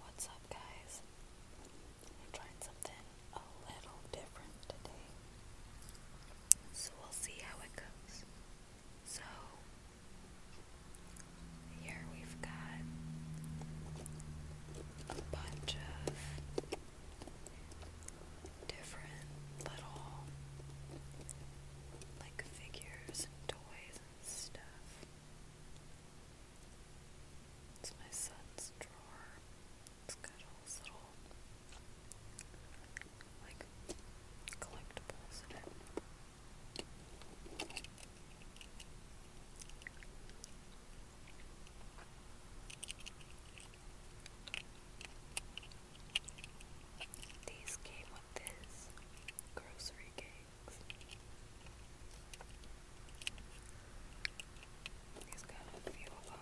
What's up, guys? trying something a little different today. So we'll see how it goes. So, here we've got a bunch of different little like figures and toys stuff. It's my son's drawer. It's got all these little like collectibles in it. These came with this grocery game. There's kind of a few of them.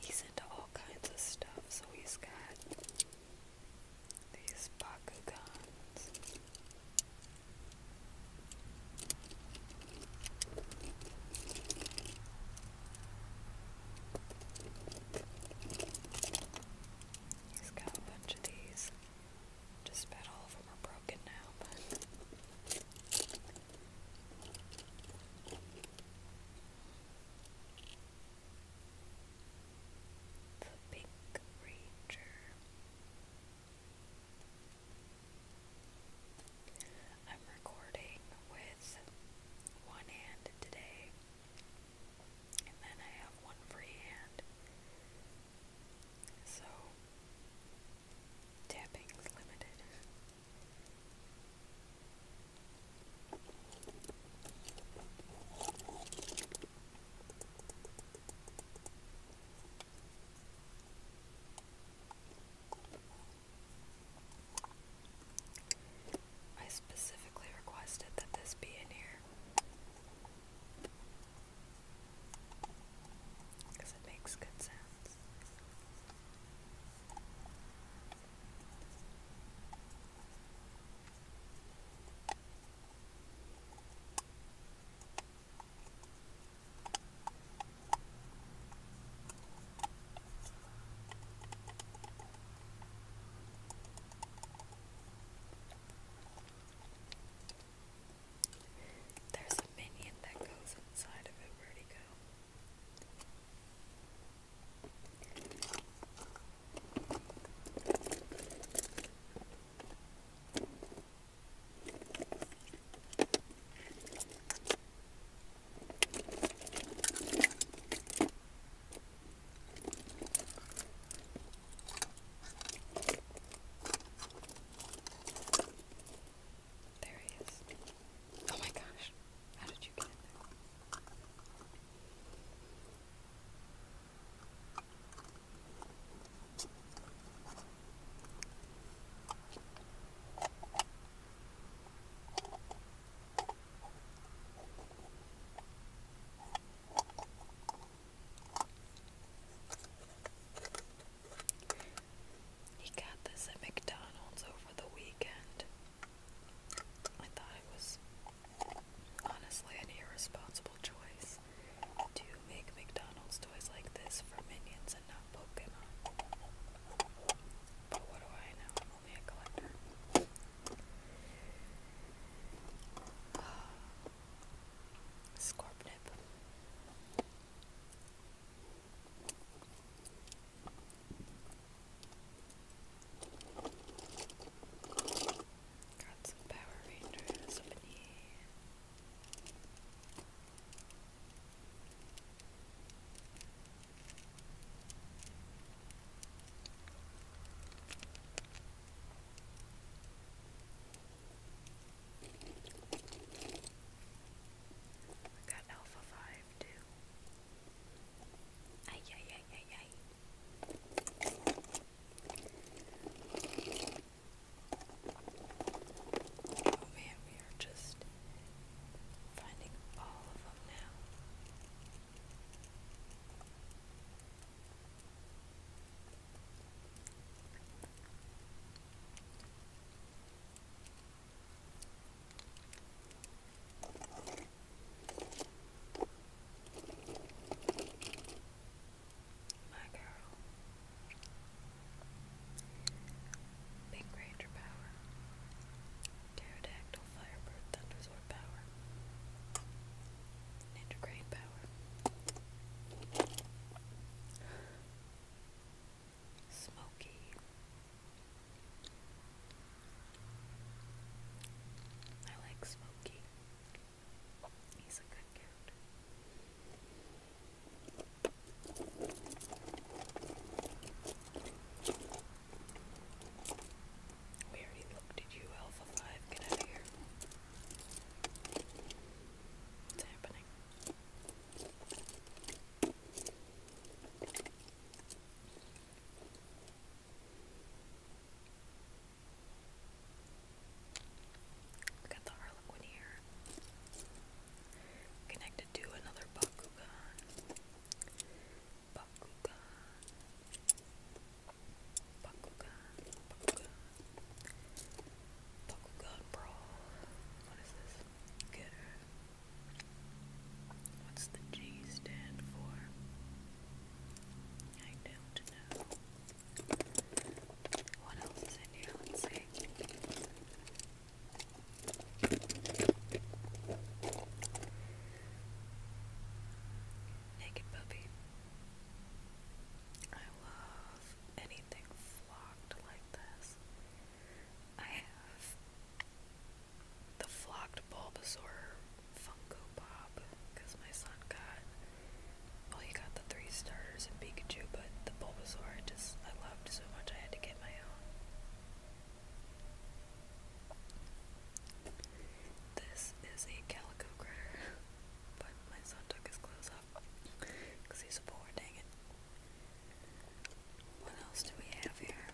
He's into all kinds of stuff, so he's got these guns. He's got a bunch of these. Just about all of them are broken now, The Pink Ranger. I'm recording with one hand today, and then I have one free hand. So, tapping's limited. I specifically requested that this be in here because it makes good sense. There's a minion that goes inside of it. Where'd he go? There he is. Oh my gosh. How did you get in there? He got this at McDonald's over the weekend. I thought it was honestly an irresponsible choice to make McDonald's toys like this for minions and not Pokemon. But what do I know? only a collector. Scorpnip. Got some Power Rangers we got Alpha Five too. Ay ay ay ay ay. Oh man, we are just finding all of them now. My girl. Big Ranger power. Pterodactyl Firebird Thundersword power. Ninja Crane power. Smoky. I like Smoky. He's a good character. We already you, Alpha 5. Get out of here. What's happening? Got the Harlequin here. Connected to another Bakugan. Bakugan. Bakugan. Bakugan. Bakugan What is this? What's the G stand for? I don't know. What else is in here? Let's see. Naked puppy. I love anything flocked like this. I have the flocked bulbosaur Funko Pop because my son got well, he got the three stars and Pikachu, but the Bulbasaur I just I loved so much I had to get my own. This is a calico but my son took his clothes off he's a dang it. What else do we have here?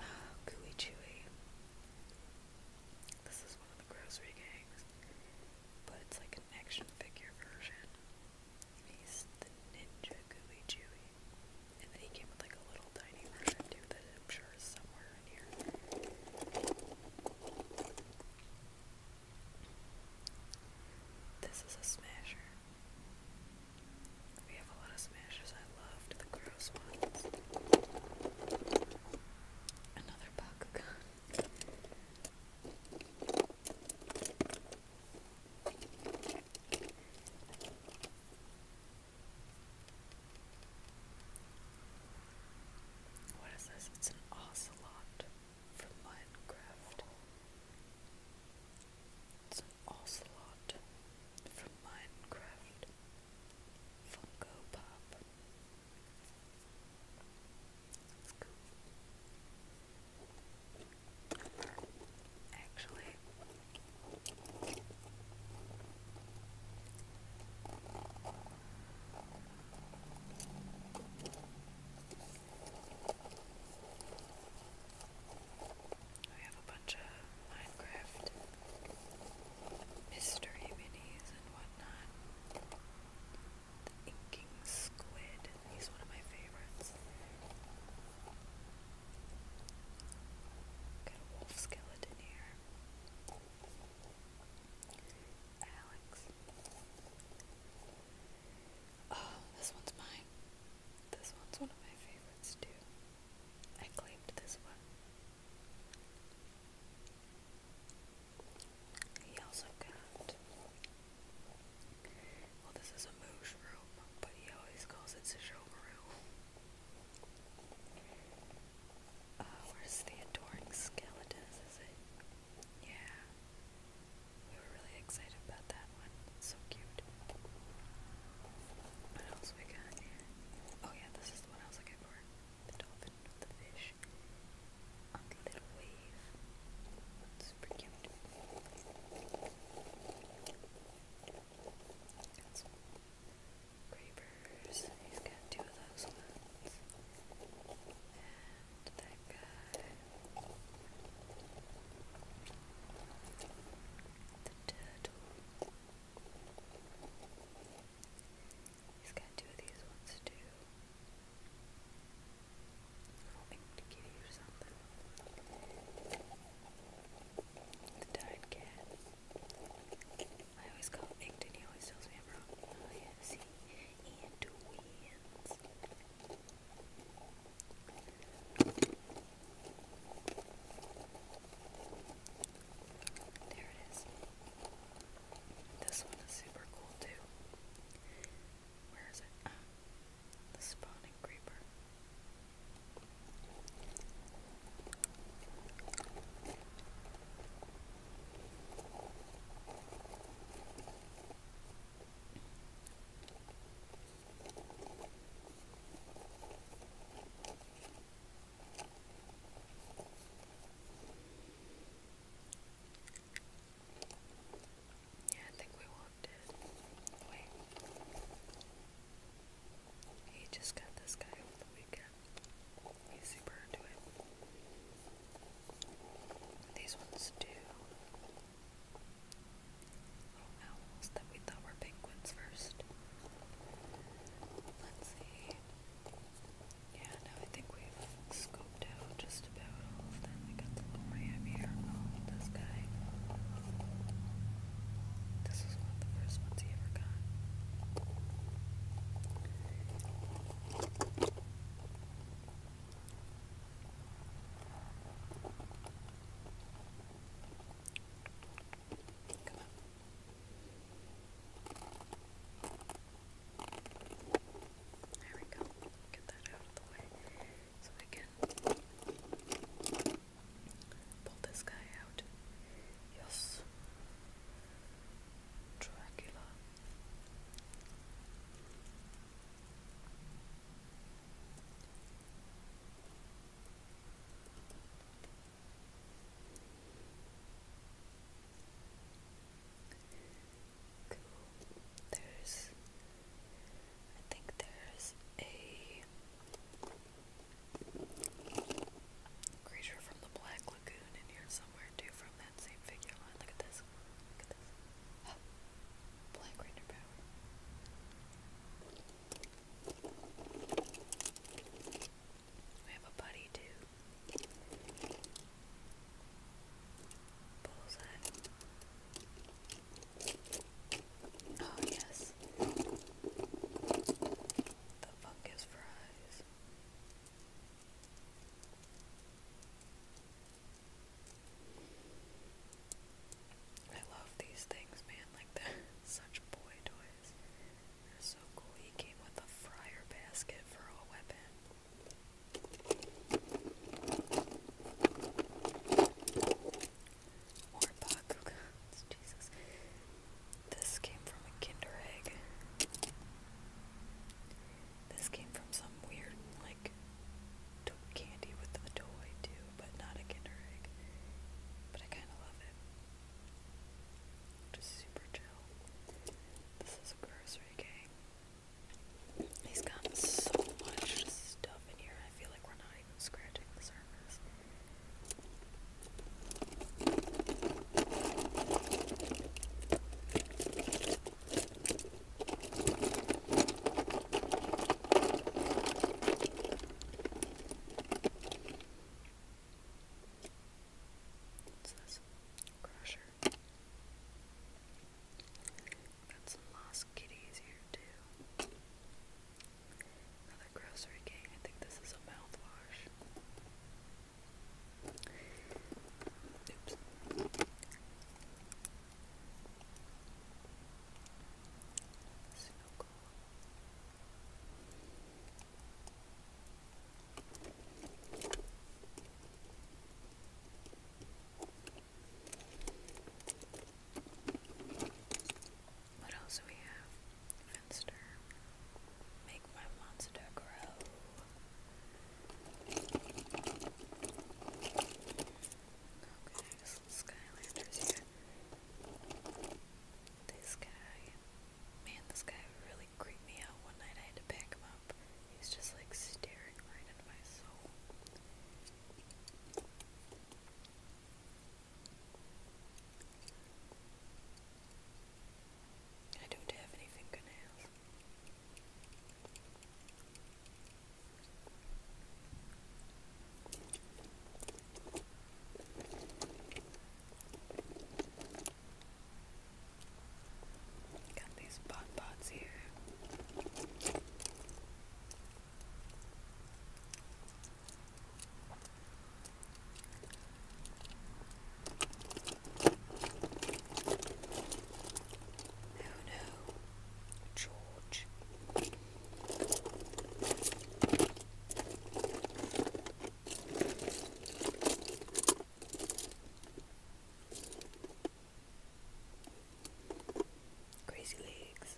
Ah, Gooey Chewy. This is one of the grocery gangs, but it's like an action figure version. He's the Ninja Gooey Chewy. And then he came with like a little tiny version too that I'm sure is somewhere in here. This is a smasher. We have a lot of smashers. I loved the gross ones. Another Bakugan. What is this? It's an ocelot from Minecraft. It's an ocelot from Minecraft. Funko Pop. It's cool. Actually, we have a bunch of Minecraft mystery minis and whatnot. Inking Squid. He's one of my favorites. Got a wolf skeleton here. Alex. Oh, this one's mine. This one's one of my favorites too. I claimed this one. He also got well, this is a moosh room, but he always calls it Sejoma room. Uh, where's the adoring skeletons, is it? Yeah. We were really excited about that one. so cute. What else we got here? Oh yeah, this is the I was looking for. The dolphin the fish. On little wave. Super cute. Got some creepers. He's got two of those ones. And that guy. The turtle. He's got two of these ones too the kitty cat. I always call him and he always tells me I'm wrong. Oh yeah, see? And wins. There it is. This one is super cool too. Where is it? the spawning creeper. Yeah, I think we walked in. Wait. He just got this guy over the weekend. He's super into it. These ones do little oh, owls that we thought were penguins first. Let's see. Yeah, no, I think we've scoped out just about all of them. I got the little ram here. this guy. This was one the first ones he ever got. Come on. There we go. Get that out of the way so I can pull this guy out. Yes. Dracula. Cool. There's I think there's a creature from the Black Lagoon in here somewhere too from that same figure line. Look at this. Look at this. Oh. Black Ranger power. We have a buddy too. Bullseye. Oh, yes. The fungus fries. I love these things, man. Like, they such boy toys. They're so cool. He came with a fryer basket for a weapon. More bucks, Jesus. This came from a Kinder Egg. This came from some weird, like, candy with a toy too, but not a Kinder Egg. But I kind of love it. Just super chill. This is a grocery game. He's got so much stuff in here. I feel like we're not even scratching the surface. What's this? Crusher. Got some lost kitties here too. Another grocery gang. I think this is a mouthwash. Oops. Snuggle. What else do we have? Fenster. Make my monster grow. Okay, there's some Skylanders here. This guy. Man, this guy really creeped me out one night. I had to pack him up. He's just like staring right into my soul. I don't have any fingernails. Got these pot pots here. Who oh, knew? George. Crazy legs.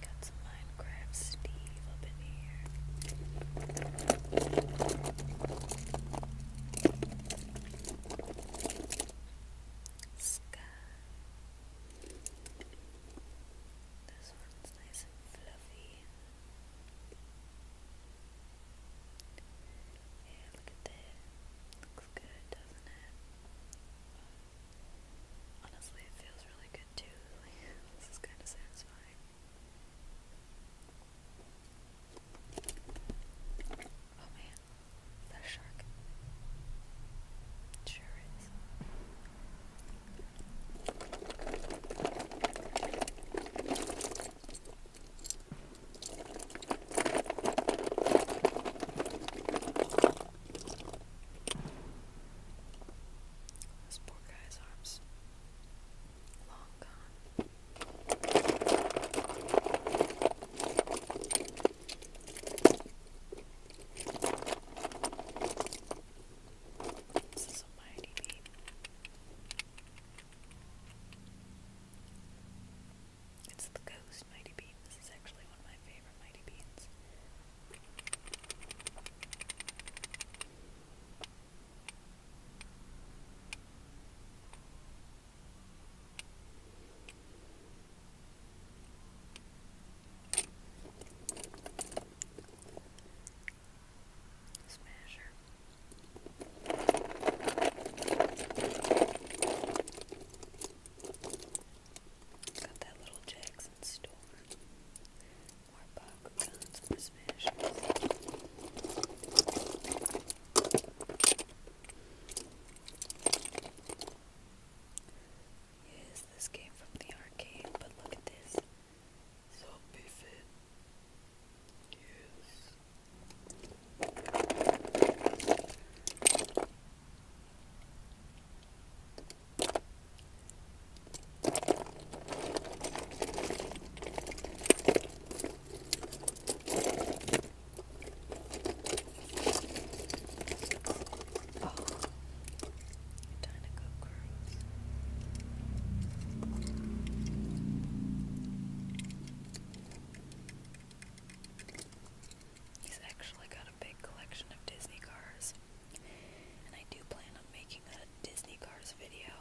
Got some Minecraft Steve up in here. Sky. This one's nice and fluffy. Yeah, look at that. Looks good, doesn't it? Honestly, it feels really good too. this is kind of satisfying. Oh man, that shark? It sure is. This poor guy's arms long gone. This is a mighty bean. It's the ghost mighty bean. This is actually one of my favorite mighty beans. Smasher. Got that little Jackson store. More popcorn Yes, this came from the arcade, but look at this. Zombie fit. Yes. He's actually got a big collection of Disney cars, and I do plan on making a Disney cars video.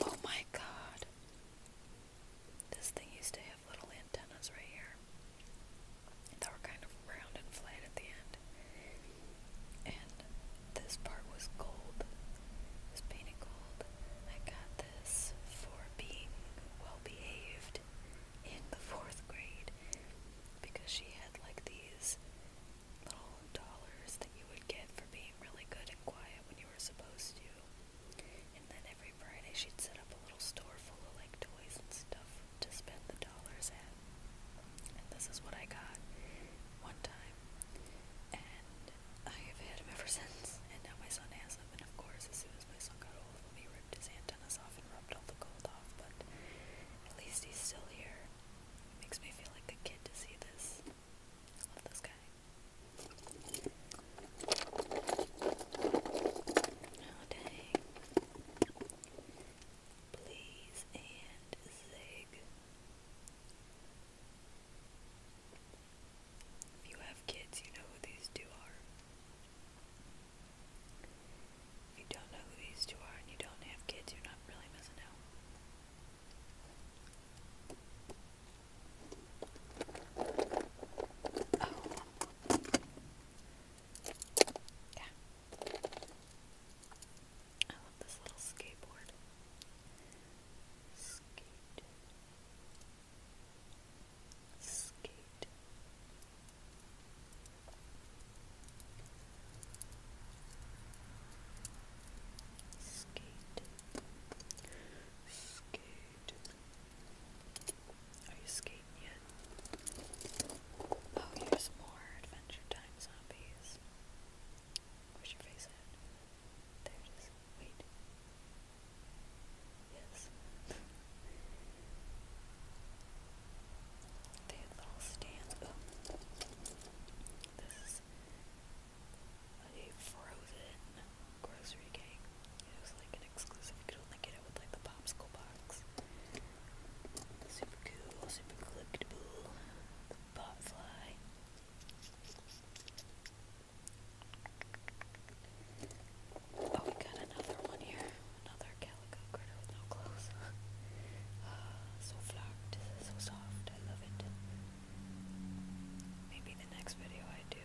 Oh my god. This thing used to have little antennas right here They were kind of round and flat at the end. And this part was gold. It was painted gold. I got this for being well behaved in the fourth grade because she had like these little dollars that you would get for being really good and quiet when you were supposed to. And then every Friday she'd set up a little store full of like toys and stuff to spend the dollars at. And this is what I got one time. And I have had him ever since, and now my son has him, and of course, as soon as my son got old of him, he ripped his antennas off and rubbed all the gold off, but at least he's still here. It makes me feel like a kid to see this. I love this guy. Oh, dang. Please and zig. If you have kids, you know who these two are. If you don't know who these two are and you don't have kids, you're not really missing out. Oh. Yeah. I love this little skateboard. Skate skate skate skate are you skating yet? oh here's more Adventure Time zombies Where's your face at? There it is. Wait. Yes. they have little stands. This is a frozen grocery cake. It was like an exclusive. You could only get it with like the popsicle box. Super cool, super collectible. botfly. Oh, we got another one here. Another calico critter no clothes. uh, so flocked, so soft. I love it. Maybe the next video I do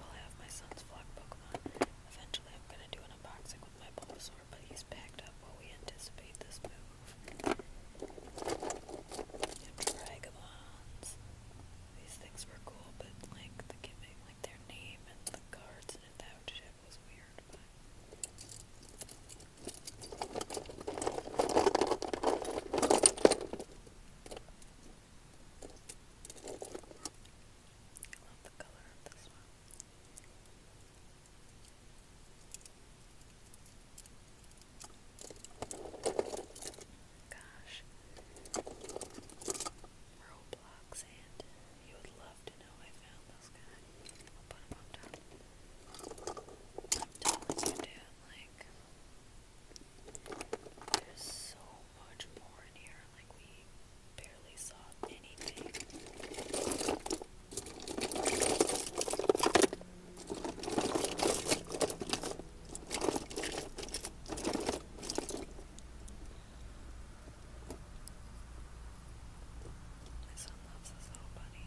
will have my son's flock Pokemon. Eventually, I'm gonna do an unboxing with my Bulbasaur, but he's packed up while we anticipate this move. Dragabons. These things were cool, but like the giving, like their name and the cards and that shit was weird. But Love the color of this one. Gosh. Roblox and you would love to know I found this guy. i am telling you, dude, like, there's so much more in here. Like, we barely saw anything. My son loves this little bunny.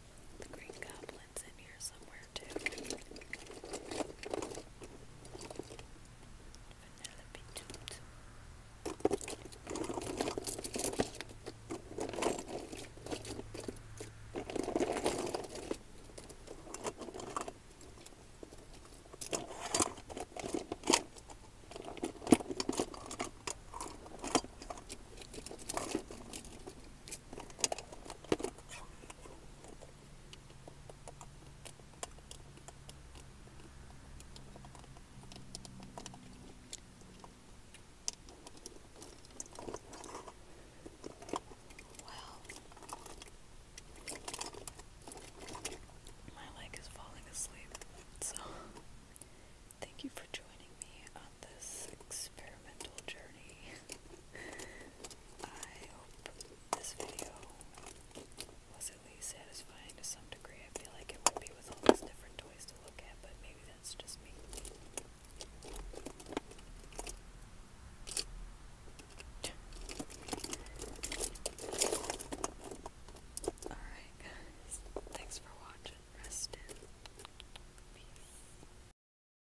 The green goblin's in here somewhere too. Penelope Toot. Well, my leg is falling asleep, so thank you for joining me on this experimental journey. I hope this video was at least satisfying to some degree. I feel like it would be with all these different toys to look at, but maybe that's just me. Alright, guys. Thanks for watching. Rest in peace.